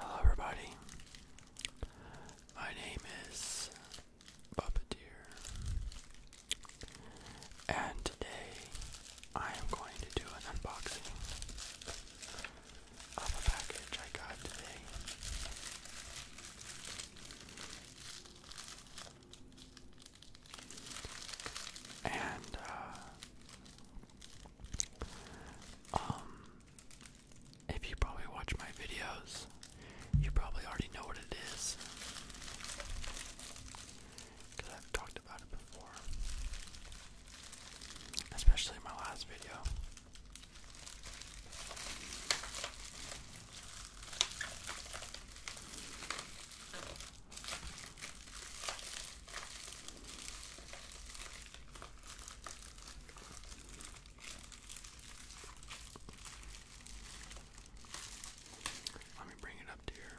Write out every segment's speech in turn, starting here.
Hello, everybody. My name is Puppeteer, and today I am going to do an unboxing of a package I got today. And, uh, um, if you probably watch my videos, you probably already know what it is. Because I've talked about it before especially my last video. Let me bring it up to your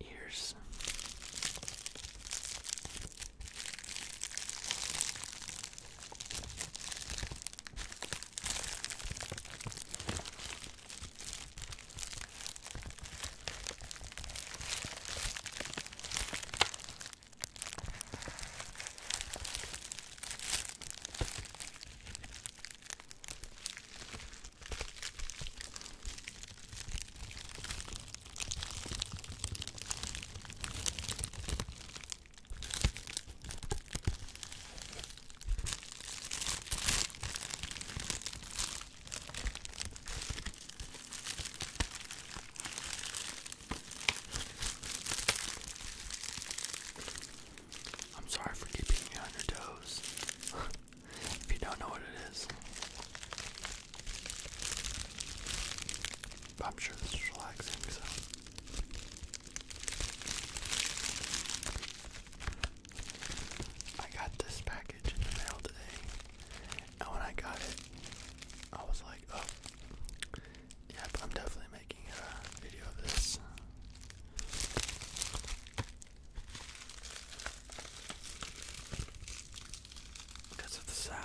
ears. I'm sorry for keeping you on your toes. if you don't know what it is, I'm sure this is relaxing, so. I got this package in the mail today, and when I got it, I was like, oh, yep, I'm definitely making a video of this because of the sound.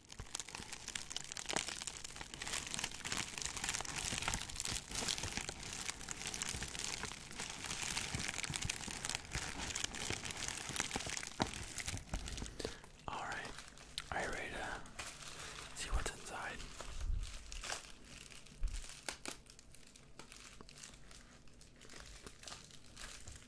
All right, are you ready to see what's inside?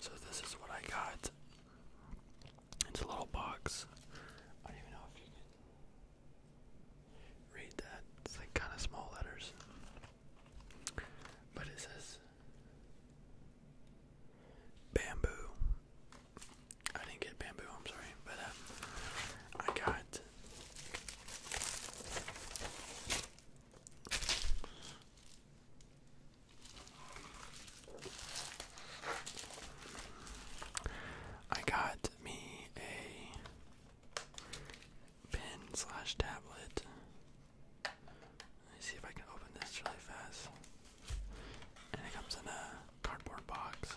So this is what I got. It's a little box. I don't know if you can read that. It's like kind of small letters. But it says bamboo. I didn't get bamboo, I'm sorry, but um, I got I got me a pen slash tablet. Let me see if I can open this really fast. And it comes in a cardboard box.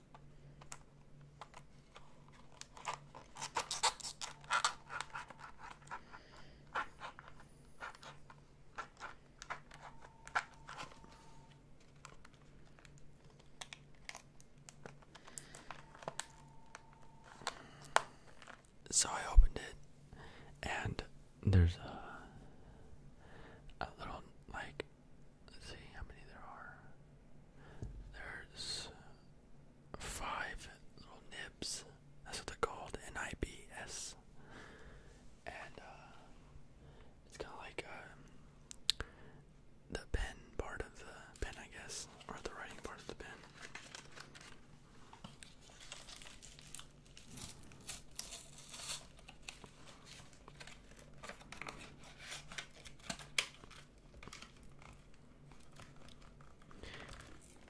So I opened it, and there's a little like. Let's see how many there are. There's five little nibs. That's what they're called, N-I-B-S. And uh, it's kind of like um, the pen part of the pen, I guess, or the writing part of the pen.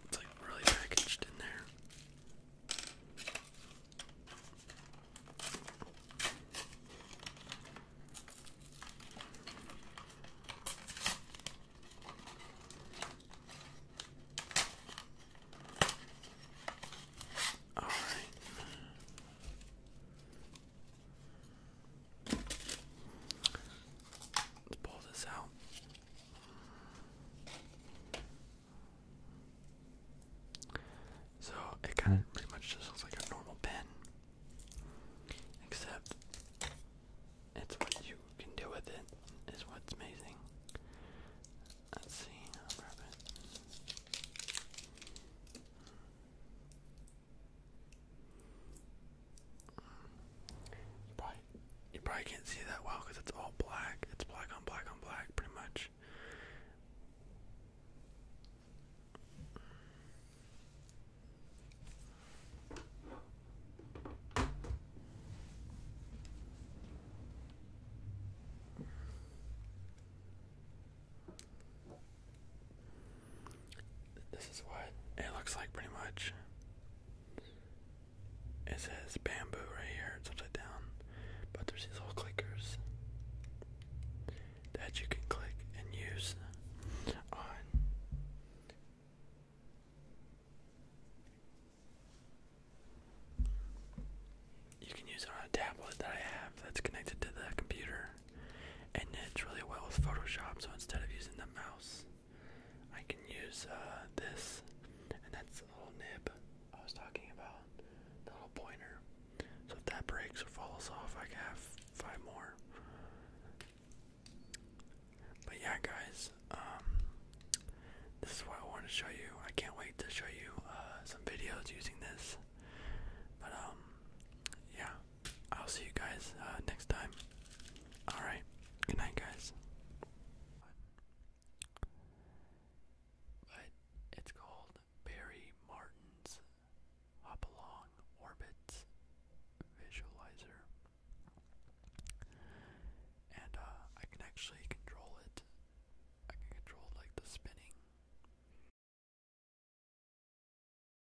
It's like really packaged in there. All right. Let's pull this out. So it kind of pretty much just looks like a normal pen, except it's what you can do with it is what's amazing. Let's see, you probably, can't see that well because it's all black. It's black on black on black, pretty much. This is what it looks like pretty much. It says bamboo right here, upside down. But there's these little clickers that you can click and use on you can use on a tablet that I have that's connected to the computer and it's really well with Photoshop. So instead of using the mouse, I can use uh, this, and that's the little nib I was talking about, the little pointer. So if that breaks or falls off, I can have five more. But yeah, guys, um, this is what I want to show you. I can't wait to show you uh, some videos using this. But um, yeah. I'll see you guys uh, next time. Alright, good night, guys. But it's called Barry Martin's Hopalong Orbits Visualizer. And uh, I can actually control it. I can control like the spinning.